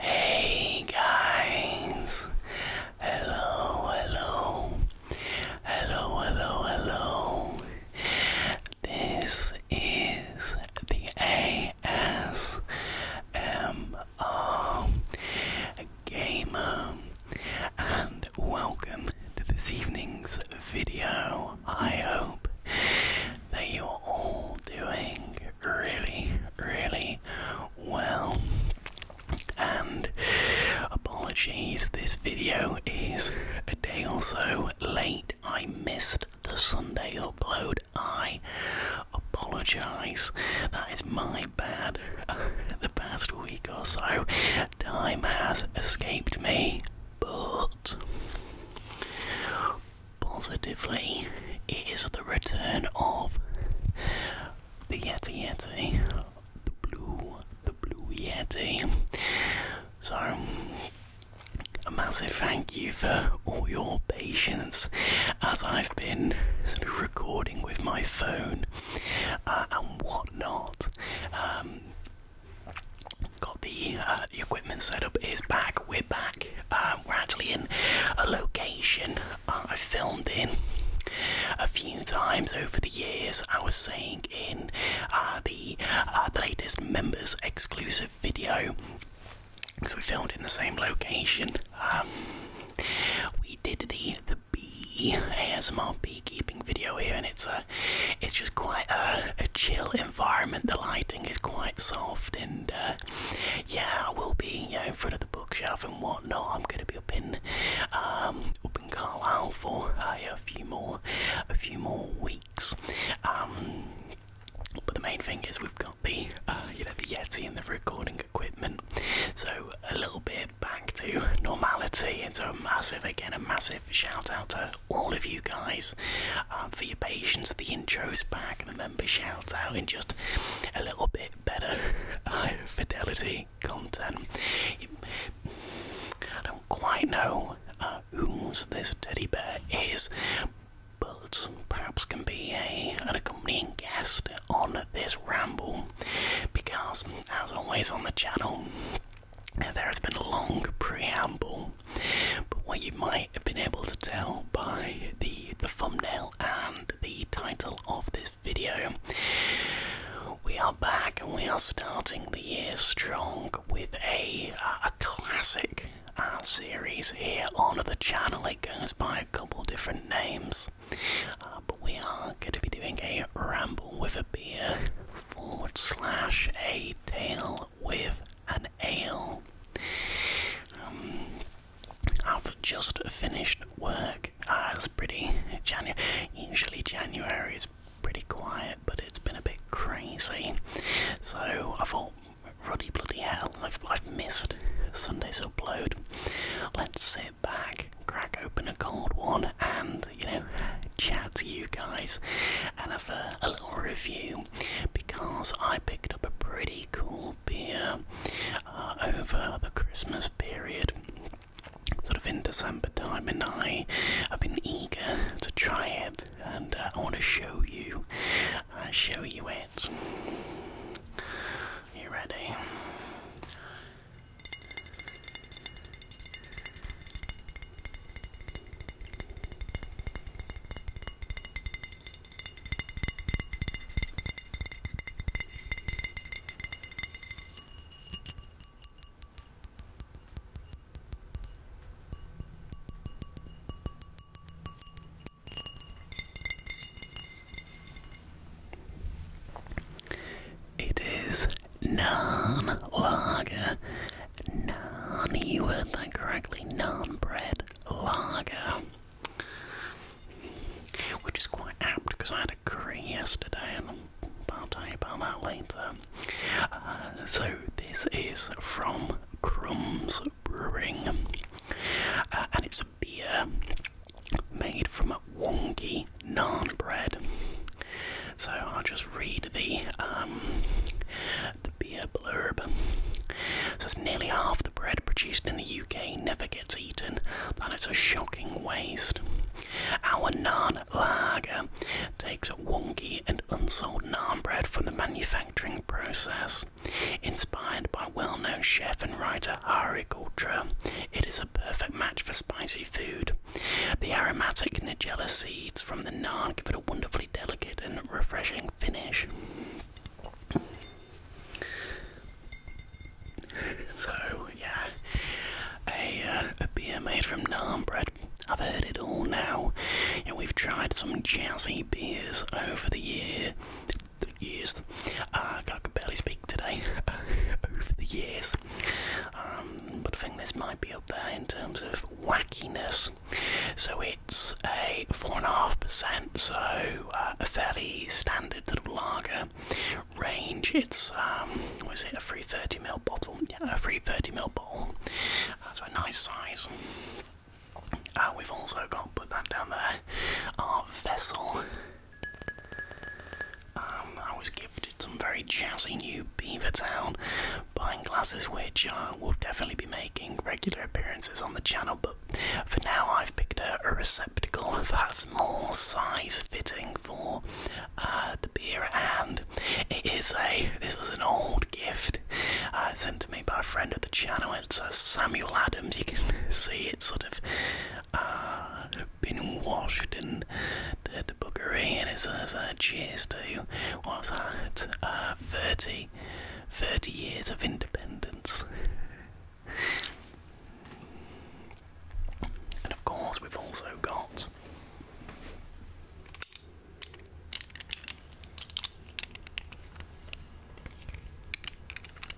Hey guys, hello, hello, hello, hello, hello. This is the ASMR um, gamer, and welcome to this evening's video. I hope that you're all doing really, really well. And apologies, this video is a day or so late. I missed the Sunday upload I apologise. That is my bad. the past week or so, time has escaped me, but positively, it is the return of the Yeti Yeti, the blue, the blue Yeti. So, a massive thank you for all your patience as I've been sort of recording with my phone uh, and whatnot. Um, got the, uh, equipment setup is back. We're back. Uh, we're actually in a location I filmed in a few times over the years. I was saying in the, the latest members exclusive video because we filmed in the same location. Um, we did the the bee ASMR beekeeping video here, and it's a it's just quite a, a chill environment. The lighting is quite soft, and uh, yeah, I will be you in front of the bookshelf and whatnot. I'm going to be up in um, up in Carlisle for uh, a few more a few more weeks. Um, but the main thing is we've got the uh, you know the Yeti and the recording equipment. So a little bit back to normality. And so a massive again a massive shout out to all of you guys uh, for your patience. The intro is back, the member shout out, in just a little bit better uh, fidelity content. I don't quite know uh, whose this teddy bear is but perhaps can be a, an accompanying guest on this ramble because, as always on the channel, there has been a long preamble. But what you might have been able to tell by the, the thumbnail and the title of this video, we are back and we are starting the year strong with a, a classic. Uh, series here on the channel. It goes by a couple different names but we are going to be doing a ramble with a beer forward slash a tale with an ale. Um, I've just finished work. Uh, it's pretty January. Usually January is pretty quiet, but it's been a bit crazy. So I thought, ruddy bloody hell, I've, I've missed Sunday's upload. Let's sit back, crack open a cold one, and, you know, chat to you guys and have a, little review because I picked up a pretty cool beer uh, over the Christmas period. Sort of in December time, and I have been eager to try it, and uh, I want to show you, uh, show you it. You ready? It is non lager, non, you heard that correctly, non bread lager. Which is quite apt because I had a curry yesterday and I'll tell you about that later. Uh, so, this is from Crumbs Brewing uh, and it's beer made from a wonky naan bread. So I'll just read the um, the beer blurb. So it's nearly half the bread produced in the UK never gets eaten. That is a shocking waste. Our naan lager takes wonky and unsold naan bread from the manufacturing process. Inspired by well-known chef and writer Monster Harik Ultra. It is a perfect match for spicy food. The aromatic Nigella seeds from the naan give it a wonderfully delicate and refreshing finish. So, yeah, uh, a, beer made from naan bread. I've heard it all now. and we've tried some jazzy beers over the year the uh, I could barely speak today over the years. Um, but I think this might be up there in terms of wackiness. So it's a 4.5%, so uh, a fairly standard sort of lager range. It's, um, what is it a 330ml bottle? Yeah, a 330ml bottle. That's uh, a nice size. Uh, we've also got, put that down there, our vessel. Um, I was gifted some very jazzy new Beaver Town buying glasses, which uh, will definitely be making regular appearances on the channel. But for now, I've picked a, receptacle that's more size fitting for uh, the beer, and it is a. This was an old gift uh, sent to me by a friend of the channel. It's a Samuel Adams. You can see it sort of uh, been washed and the, the bookery, and it says, uh, cheers to, that, uh, 30, 30 years of independence. and of course, we've also got.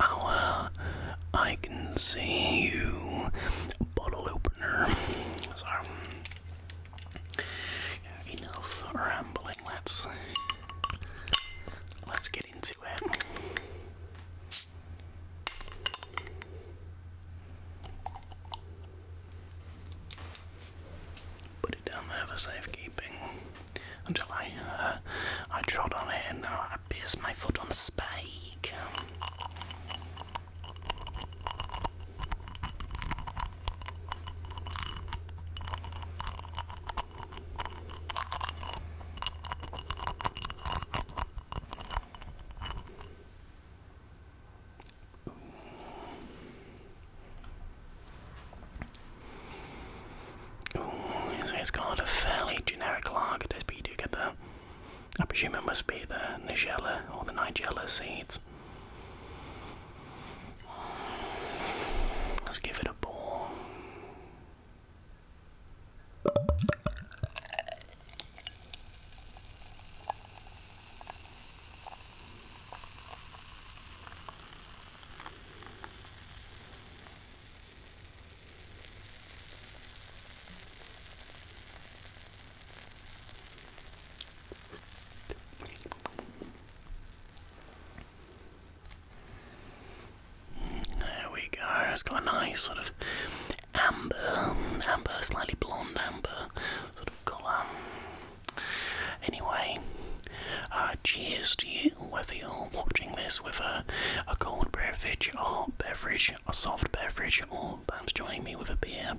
Oh, uh, I Can See You bottle opener. So, enough rambling, let's let's get into it. Put it down there for safekeeping until I uh, I trod on it is my foot on a spike? Ooh. it's got a fairly generic lager taste, but you do get the I presume it must be the Nigella or the Nigella seeds. Let's give it a ball. There we go. It's got a nice sort of amber, amber, slightly blonde amber sort of colour. Anyway, uh, cheers to you, whether you're watching this with a, a cold beverage or beverage a soft beverage, or perhaps joining me with a beer,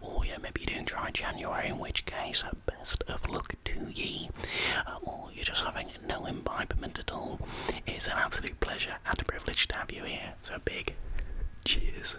or yeah, maybe you're doing dry January, in which case, uh, best of luck to ye, uh, or you're just having no imbibement at all. It's an absolute pleasure and a privilege to have you here. So, big cheers.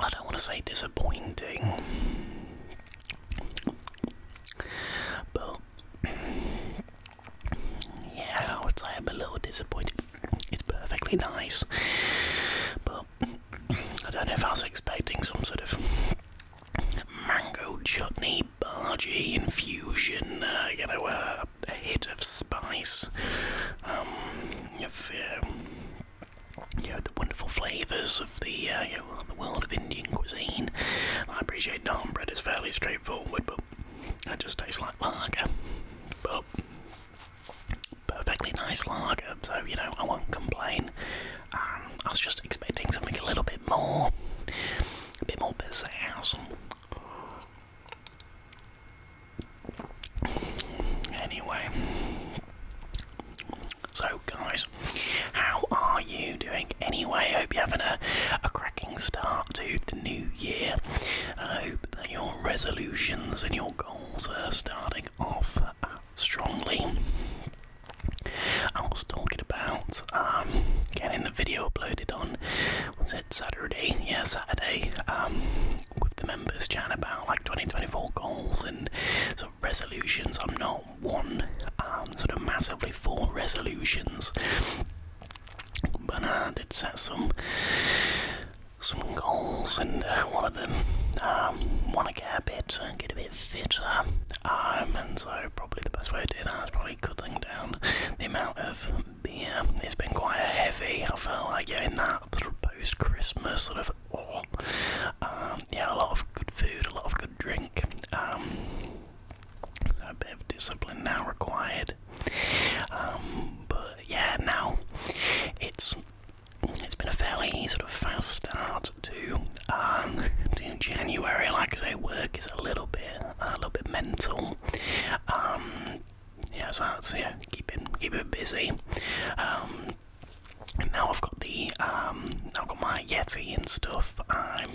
I don't want to say disappointing, but yeah, I would say I'm a little disappointed. It's perfectly nice, but I don't know if I was expecting some sort of mango chutney, bargee infusion, uh, you know, a hit of spice, um, you know, the wonderful flavours of the uh, you know, the world of Indian cuisine. I appreciate naan bread is fairly straightforward, but. That just tastes like lager. But perfectly nice lager, so you know, I won't complain. Um, I was just expecting something a little bit more, a bit more pizzazz. Anyway, so guys, how are you doing? Anyway, hope you're having a, a cracking start to the new year. I hope that your resolutions and your goals, starting off uh, strongly. I was talking about um, getting the video uploaded on, was it Saturday? Yeah, Saturday, um, with the members chatting about like 2024 goals and sort of resolutions. I'm not one um, sort of massively for resolutions. But uh, I did some some goals, and uh, one of them um, want to get a bit, uh, get a bit fitter, um, and so probably the best way to do that is probably cutting down the amount of beer. It's been quite heavy. I felt like getting that sort of post-Christmas sort of oh, um, yeah, a lot of good food, a lot of good drink. Um, so a bit of discipline now required. Um, but yeah, now it's it's been a fairly sort of fast start to um, to January. Like I say, work is a little bit a little bit mental. Um, yeah, so that's yeah, keep it keep it busy. and um, now I've got the I've got my Yeti and stuff. I'm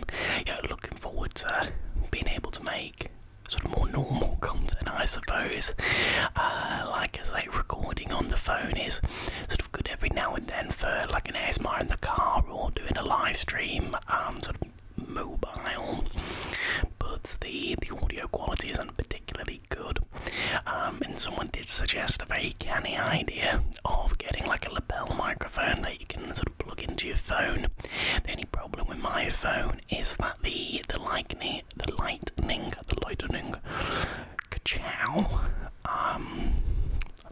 yeah, looking forward to being able to make sort of more normal content, I suppose. Uh, like I say, recording on the phone is sort of good every now and then for like an ASMR in the car or doing a live stream, um, sort of mobile. But the the audio quality isn't particularly good. Um, and someone did suggest a very canny idea of getting like a lapel microphone that you can sort of plug into your phone. Any problem with my phone known is that the the lightning, the lightning, the lightning, ka um,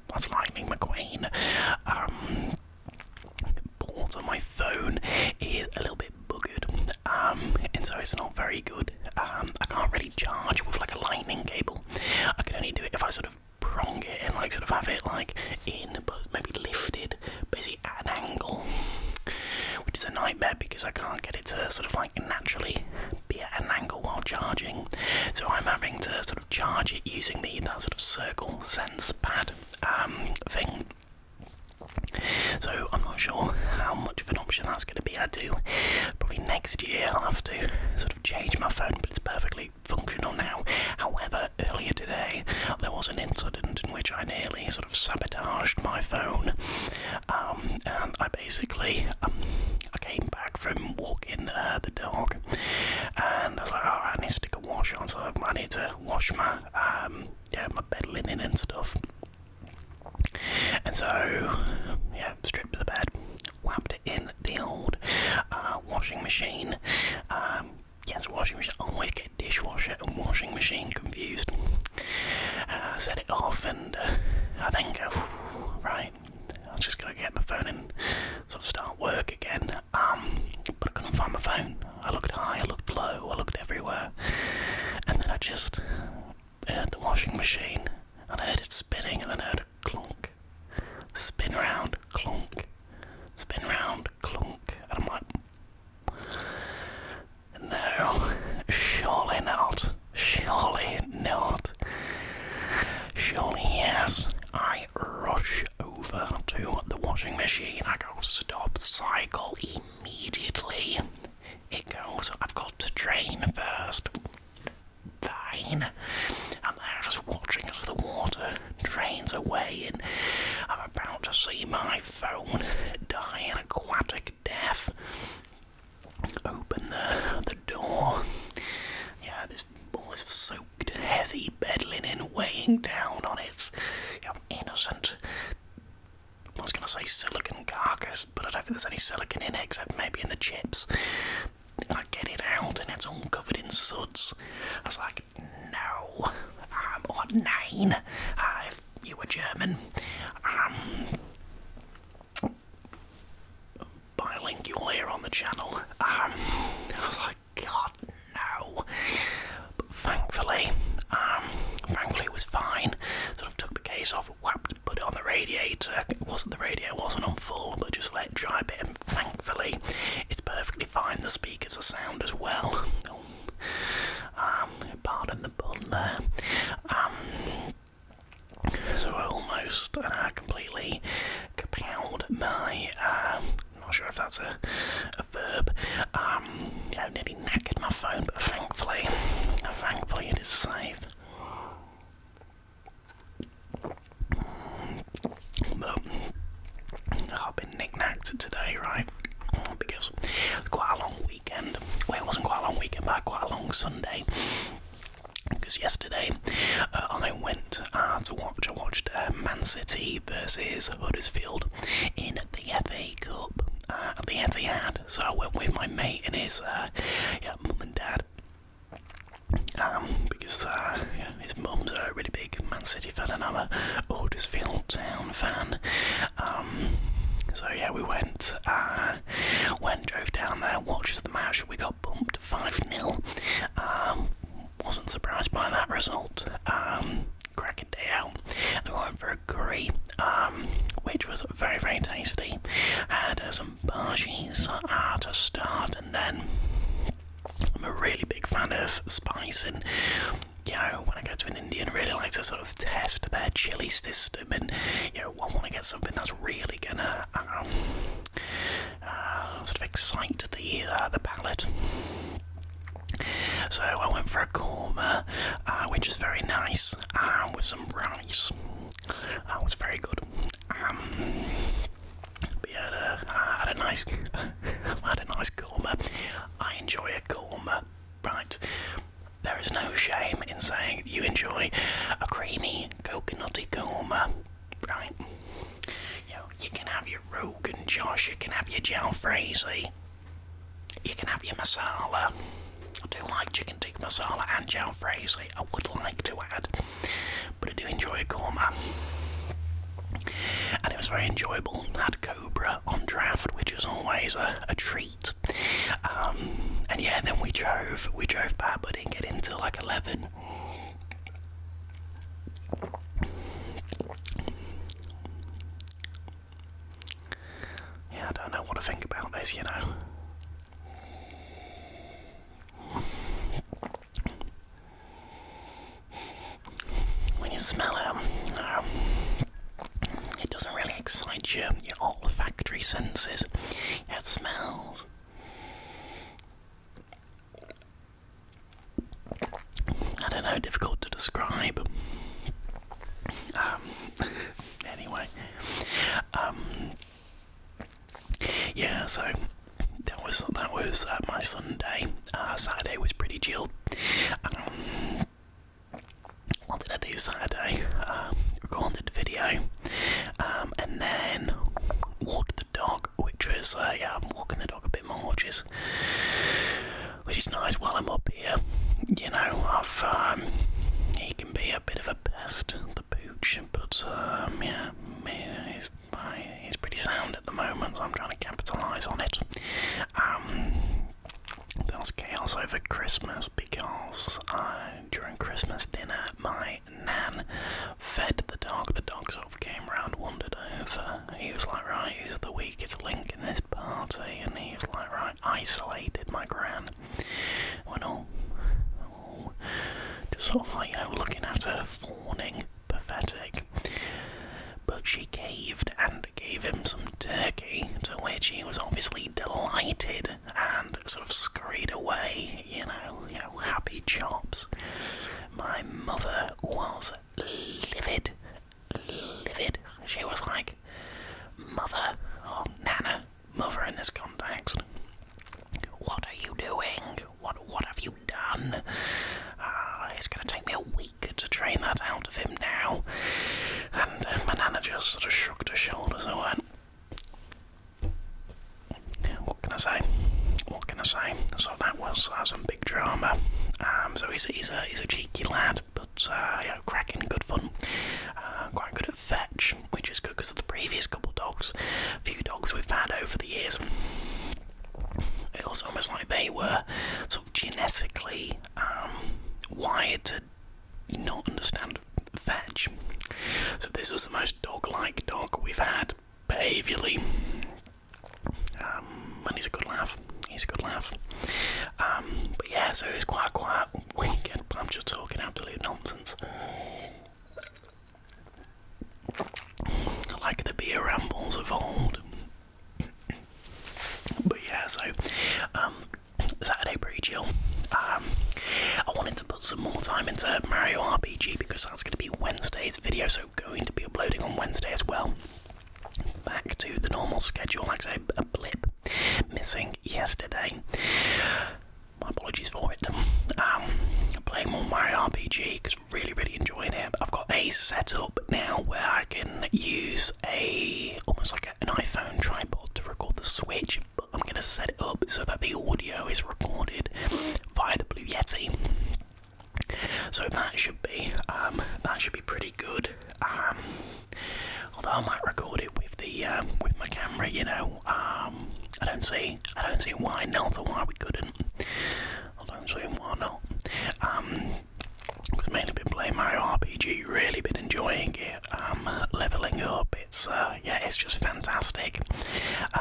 that's Lightning McQueen. Um, boards on my phone is a little bit buggered, um, and so it's not very good. Um, I can't really charge with like a lightning cable. I can only do it if I sort of prong it and like sort of have it like in, but maybe lifted, basically an angle, which is a nightmare because I can't get it to sort of like naturally be at an angle while charging. So I'm having to sort of charge it using the that sort of circle sense pad um, thing. So I'm not sure how much of an option that's going to be. I do probably next year I'll have to sort of change my phone, but it's perfectly functional now. However, earlier today there was an incident in which I nearly sort of sort sabotaged my phone. Um, and I basically um, I came back from walking uh, the dog, and I was like, alright, I need to stick a wash on, so I need to wash my um, yeah my bed linen and stuff. And so yeah, stripped the bed, whapped it in the old uh, washing machine. Yes, washing machine. always get dishwasher and washing machine confused. Uh, set it off, and and uh, I think, uh, right, I was just gonna get my phone and sort of start work again. Um, but I couldn't find my phone. I looked high, I looked low, I looked everywhere, and then I just heard the washing machine, and I heard it spinning, and then I heard a clunk, spin round, clunk, spin round, clunk, and I'm like, no, surely not. Surely not. Surely, yes. I rush over to the washing machine. I go stop cycle immediately. It goes, I've got to drain first. Fine. I'm just watching as the water drains away, and I'm about to see my phone die an aquatic Open the, the door. Yeah, this all this soaked, heavy bed linen weighing down on its you know, innocent. I was going to say silicon carcass, but I don't think there's any silicon in it except maybe in the chips. I get it out and it's all covered in suds. I was like, no, I'm on nine. i am on 9 you were German. Um, bilingual here on the channel. Um, I was like, God, no. But thankfully, um, thankfully it was fine. Sort of took the case off, whapped, put it on the radiator. It wasn't the radiator, wasn't on full, but just let it dry a bit. And thankfully, it's perfectly fine. The speakers are sound as well. Um, pardon the pun there. So I almost uh, completely kapowed my. Um, not sure if that's a, a verb. Um, I nearly knackered my phone, but thankfully, thankfully it is safe. But I've been knick-knacked today, right? Because Quite a long weekend. Well, it wasn't quite a long weekend, but quite a long Sunday. Because yesterday uh, I went uh, to watch. I watched uh, Man City versus Huddersfield in the FA Cup at the Etihad. So I went with my mate and his mum and dad. Um, because his mum's a really big Man City fan and I'm a Huddersfield Town fan. Um, so yeah, we went, uh, went, drove down there, watched the match. We got bumped five 0 um, wasn't surprised by that result. Um, cracking day out. we went for a curry, which was very very tasty. Had uh, some bhajis uh, to start, and then I'm a really big fan of spice and. You know, when I go to an Indian, I really like to sort of test their chili system, and you know, I want to get something that's really gonna um, uh, sort of excite the uh, the palate. So I went for a korma, uh, which is very nice, um, with some rice. That was very good. we um, had a, I had a nice, I had a nice korma. I enjoy a korma, right? There is no shame in saying you enjoy a creamy coconutty coma, right? You can have your Rogan Josh, you can have your Jalfrezi, you can have your masala. I do like chicken tikka masala and Jalfrezi, I would like to add, but I do enjoy a korma. And it was very enjoyable. had Cobra on draft, which is always a treat street. Um, and yeah, then we drove. We drove by, but didn't get into like eleven. Yeah, I don't know what to think about this, you know. When you smell it, um, it doesn't really excite your, your olfactory senses. It smells. I don't know, difficult to describe. Um, anyway, um, yeah, so that was that was uh, my Sunday. Uh, Saturday was pretty chill. Um, what did I do Saturday? Um, recorded the video, um, and then walked the dog, which was uh, yeah, I'm walking the dog a bit more, which is which is nice. While I'm up here, you know, I've um, he can be a bit of a pest, the pooch, but um, yeah, he's he's pretty sound at the moment, so I'm trying to capitalise on it. Um, there was chaos over Christmas because I during Christmas dinner, my nan fed the dog. The dog sort of came round, wandered over. He was like, right, who's the weakest link in this party? And he was like, right, isolated my gran. I went, oh, just sort of like, you know, looking at her, fawning, pathetic. But she caved and gave him some turkey, to which he was obviously delighted and sort of scurried away, you know, happy chops. My mother was livid, livid. She was like, Mother, or oh, Nana, mother in this context, what are you doing? What, what have you done? Ah, it's going to take me a week to train that out of him now. And my Nana just sort of shrugged her shoulders and went, what can I say? What can I say? So that was uh, some big drama. Um, so he's, he's a he's a cheeky lad, but uh, yeah, cracking good fun. Uh, quite good at fetch, which is good because of the previous couple dogs, few dogs we've had over the years. It was almost like they were sort of genetically um, wired to not understand around So this was the most dog-like dog we've had behaviourally. Um, and he's a good laugh. He's a good laugh. Um, but yeah, so it's quite quiet I'm just talking absolute nonsense. Like the beer rambles of old. But yeah, so um, Saturday pretty chill. Um, I wanted to put some more time into Mario RPG because that's going to be Wednesday's video, so going to be uploading on Wednesday as well. Back to the normal schedule, like I say, a blip missing yesterday. My apologies for it. Um, playing more Mario RPG because really, really enjoying it. I've got a setup now where I can use a almost like an iPhone tripod to record the Switch but I'm gonna set it up so that the audio is recorded via the Blue Yeti. So that should be um, that should be pretty good. Um, although I might record it with the um, with my camera, you know. Um, I don't see I don't see why not or why we couldn't. I don't see why not. I've mainly been playing my RPG, really been enjoying it. I'm leveling up. It's uh, yeah, it's just fantastic.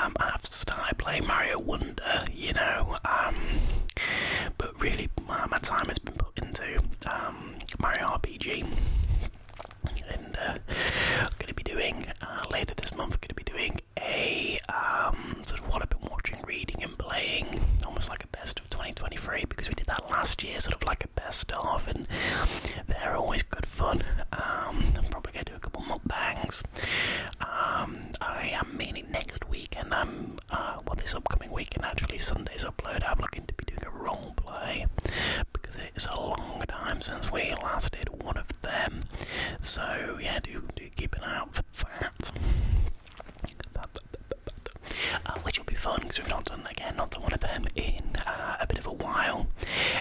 Um, I've started playing Mario Wonder, you know, um, but really my, time has been put into um, Mario RPG. And uh, I'm going to be doing uh, later this month. I'm going to be doing a um, sort of what I've been watching, reading, and playing, almost like a best of 2023 because we did that last year, sort of like best stuff, and they're always good fun. I'm um, probably gonna do a couple mukbangs. bangs. Um, I am meaning next week, and I'm uh, well, this upcoming week, and actually Sunday's upload. I'm looking to be doing a role play because it's a long time since we last did one of them. So yeah, do do keep an eye out for that. Uh, which will be fun because we've not done again, not done one of them in uh, a bit of a while,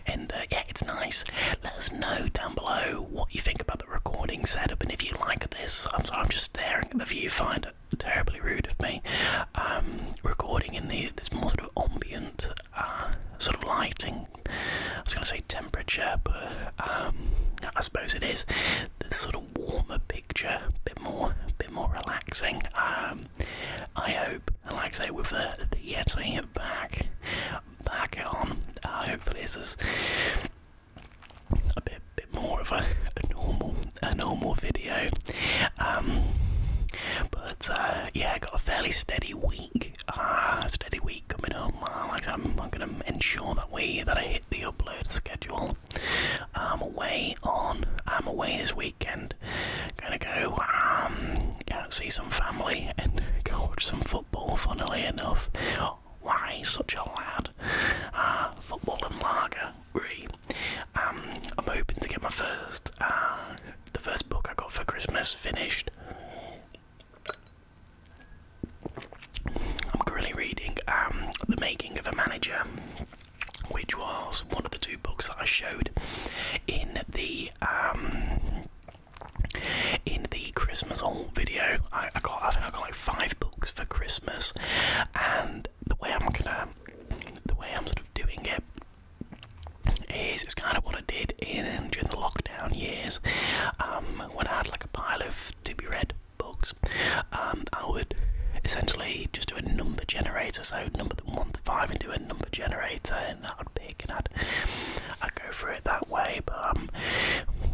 and yeah it's nice. Let us know down below what you think about the recording setup and if you like this. I'm sorry, I'm just staring at the viewfinder. Terribly rude of me. Um, recording in the this more sort of ambient uh, sort of lighting. I was going to say temperature, but um, I suppose it is. This sort of warmer picture, a bit more, bit more relaxing. Um, um, I hope, and like I say, with the, the Yeti back, back on, uh, hopefully this is a bit, bit more of a, a normal, a normal video. Um, but uh, yeah, I got a fairly steady week, uh, steady week coming up. Uh, like I'm, I'm going to ensure that we that I hit the upload schedule. I'm away on, I'm away this weekend weekend. Gonna go um, see some family and go watch some football, funnily enough. Why such a lad? Uh, football and lager, um, I'm hoping to get my first, uh, the first book I got for Christmas finished. I'm currently reading um, The Making of a Manager, which was one of the two books that I showed in the um, in the Christmas haul video. I, I got I think I got like five books for Christmas, and the way I'm gonna the way I'm sort of doing it is it's kind of what I did in during the lockdown years um, when I had like a pile of to be read books. Um, I would essentially just do a number generator, so number them one to five and do a number generator, and that would dick, and i i go for it that way. But um,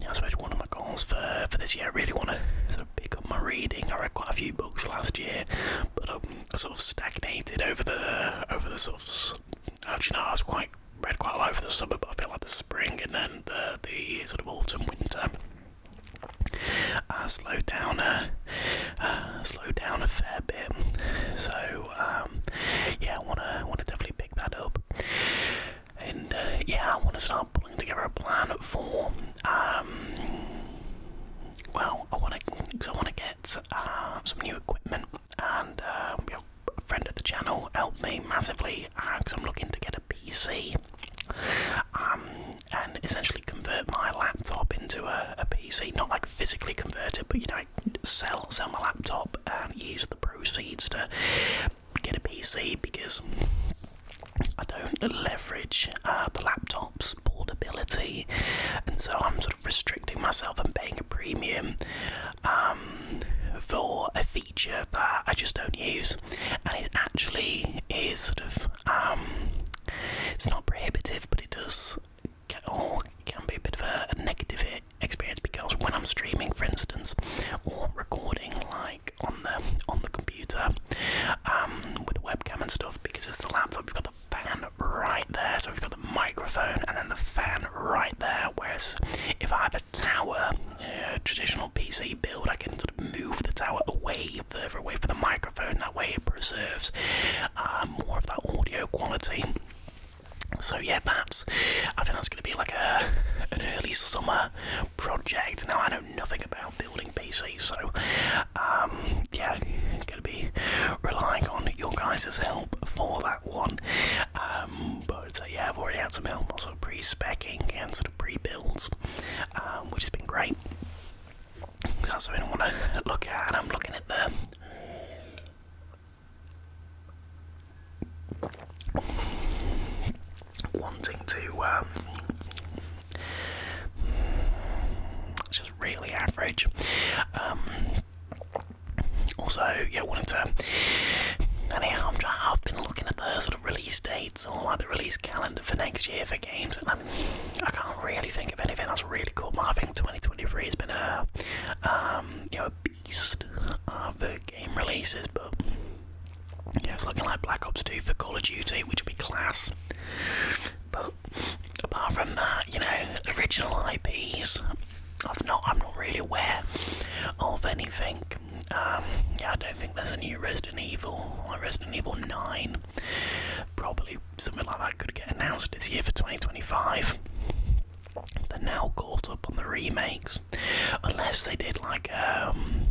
I suppose one of my goals for for this year, I really want to sort of pick up my reading. I read quite a few books last year, but um, I sort of stagnated over the over the sort of. Actually, no, I was quite read quite a lot over the summer, but I feel like the spring and then the the sort of autumn winter. I uh, slowed down a uh, slowed down a fair bit, so um, yeah, I wanna wanna definitely pick that up. And uh, yeah, I wanna start pulling together a plan for um, well, I wanna cause I wanna get uh, some new equipment and um, a friend of the channel helped me massively because I'm looking to get a PC. Um, and essentially convert my laptop into a, a PC, not like physically convert it, but you know, sell sell my laptop and use the proceeds to get a PC because I don't leverage uh, the laptop's portability, and so I'm sort of restricting myself and paying a premium um, for a feature that I just don't use, and it actually is sort of um, it's not prohibitive, but it does can, oh, can be a bit of a, negative experience because when I'm streaming, for instance, or recording like on the on the computer um, with the webcam and stuff, because it's the laptop, you've got the fan right there, so we've got the microphone and then the fan right there. Whereas if I have a tower, uh, traditional PC build, I can sort of move the tower away, further away from the microphone. That way, it preserves uh, more of that audio quality. So yeah, that's. I think that's going to be like a an early summer project. Now I know nothing about building PCs, so um, yeah, going to be relying on your guys' help for that one. Um, but uh, yeah, I've already had some help, also pre-specking and sort of pre-builds, um, which has been great. So that's something I want to look at. I'm looking at them wanting to um, it's just really average um, also yeah wanted to anyhow I'm trying, I've been looking at the sort of release dates or like the release calendar for next year for games and I'm, I can not really think of anything that's really cool I think 2023 has been a um, you know beast uh, for game releases, but yeah, it's looking like Black Ops 2 for Call of Duty, which would be class. But apart from that, you know, original IPs, I've not, I'm not really aware of anything. Um, yeah, I don't think there's a new Resident Evil, like Resident Evil 9. Probably something like that could get announced this year for 2025. They're now caught up on the remakes, unless they did like um,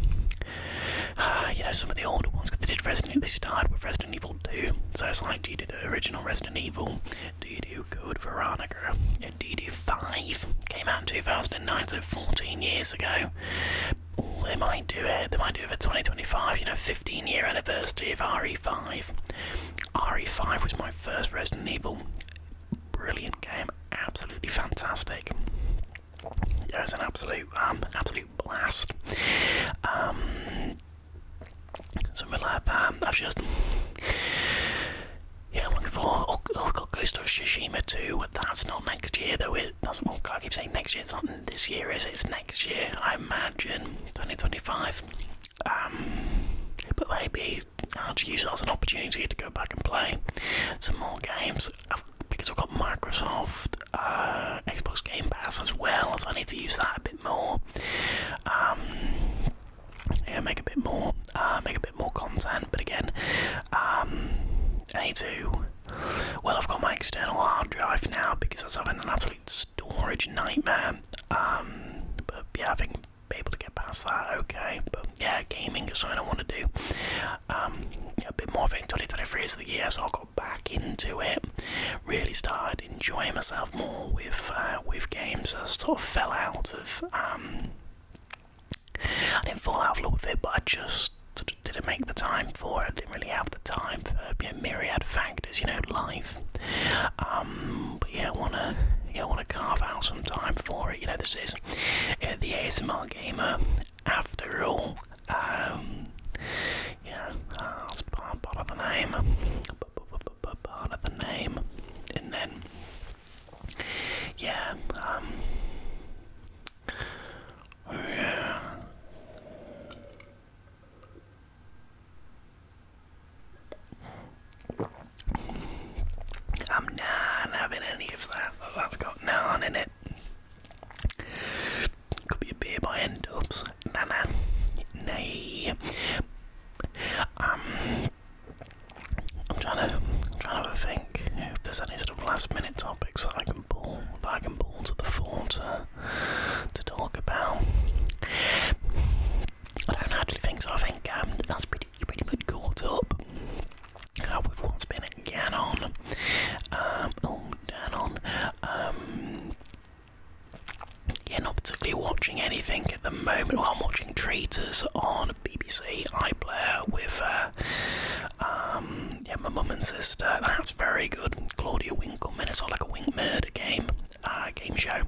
you know some of the older ones. Cause they did Resident. They started with Resident Evil 2, so it's like do you do the original Resident Evil? Do you do Good Veronica? And do you Five? Came out in 2009, so 14 years ago. they might do it. They might do it for 2025. You know, 15 year anniversary of RE5. RE5 was my first Resident Evil. Brilliant game, absolutely fantastic. it was an absolute, um, absolute blast. Um, something like that. I've um, just, yeah, looking for. Oh, oh, have got Ghost of Shishima too. That's not next year though. that's well, oh, I keep saying next year. It's not this year, is It's next year. I imagine 2025. Um, but maybe I'll just use it as an opportunity to go back and play some more games because I've got Microsoft uh, Xbox Game Pass as well, so I need to use that a bit more. Um, yeah, make a bit more, uh, make a bit more content. But again, um, I need to. Well, I've got my external hard drive now because I am having an absolute storage nightmare. but yeah, I think be able to get past that, okay. But yeah, gaming is something I want to do. Um, a bit more of it in 2023 is the year, so I got back into it. Really started enjoying myself more with uh, with games. I sort of fell out of. Um, I didn't fall out of love with it, but I just didn't make the time for it. didn't really have the time for you know, myriad factors, you know, life um, but yeah, I wanna, I wanna carve out some time for it. You know, this is the ASMR gamer after all. Um, yeah, uh, that's part, part of the name, part of the name, and then yeah, um, oh, yeah. I'm not having any of that. That's got naan in it. Could be a beer by Endorps. Nah, nah. Nay. Um, I'm trying to, trying to think if there's any sort of last minute topics that I can pull, that I can pull to the fore to, to talk about. I don't actually think so. I think um, that's pretty. pretty much caught up uh, have what been again on. Um, oh, on. Um, yeah, not particularly watching anything at the moment. Well, I'm watching Traitors on BBC iPlayer with uh, um, yeah, my mum and sister. That's very good. Claudia Winkleman. It's all like a Wink murder game. Uh, game show.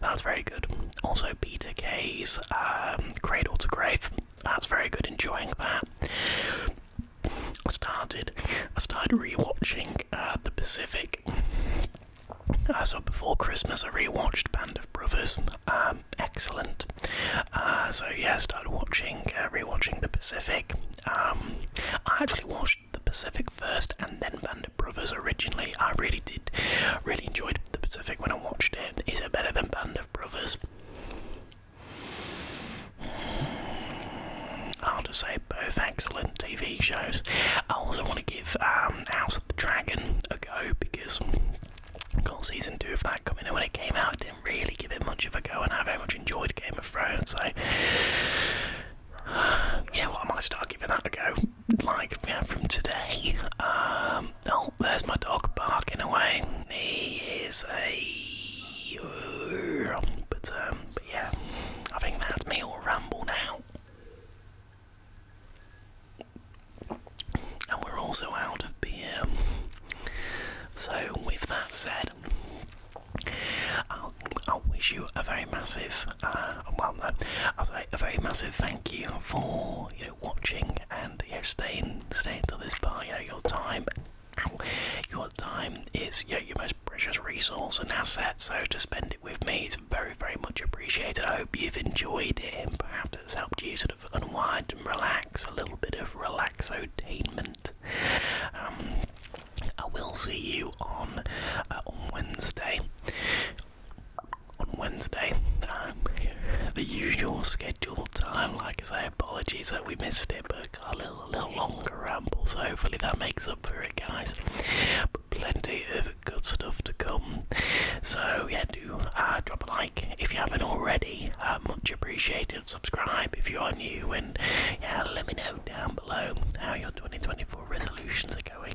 That's very good. Also, Peter Kay's um, Cradle to Grave. That's very good. Enjoying that. I started. I started rewatching uh, The Pacific. Uh, so before Christmas, I rewatched Band of Brothers. Um, excellent. Uh, so yeah, started watching, uh, rewatching The Pacific. Um, I actually watched The Pacific first then Band of Brothers originally. I really did, really enjoyed The Pacific when I watched it. Is it better than Band of Brothers? Mm, I'll just say both excellent TV shows. I also want to give um, House of the Dragon a go because got season two of that coming and when it came out didn't really give it much of a go and I very much enjoyed Game of Thrones so you know what I might start giving that a go like yeah, from today. Um, oh, there's my dog barking away. He is a. But, um, but yeah, I think that's me all ramble now. And we're also out of beer. So, with that said, I'll, I'll wish you a very massive, uh, well, no, I'll say a very massive thank you for you know watching and you staying staying to this part. You your time, your time is you your most precious resource and asset. So to spend it with me is very very much appreciated. I hope you've enjoyed it and perhaps it's helped you sort of unwind and relax a little bit of relaxotainment. Um, I will see you on uh, on Wednesday on Wednesday. Um, the usual scheduled time. Like I say, apologies that we missed it, but a little, a little longer ramble. So hopefully that makes up for it, guys. plenty of good stuff to come. So yeah, do uh, drop a like if you haven't already. Uh, much appreciated. Subscribe if you are new, and yeah, let me know down below how your 2024 resolutions are going.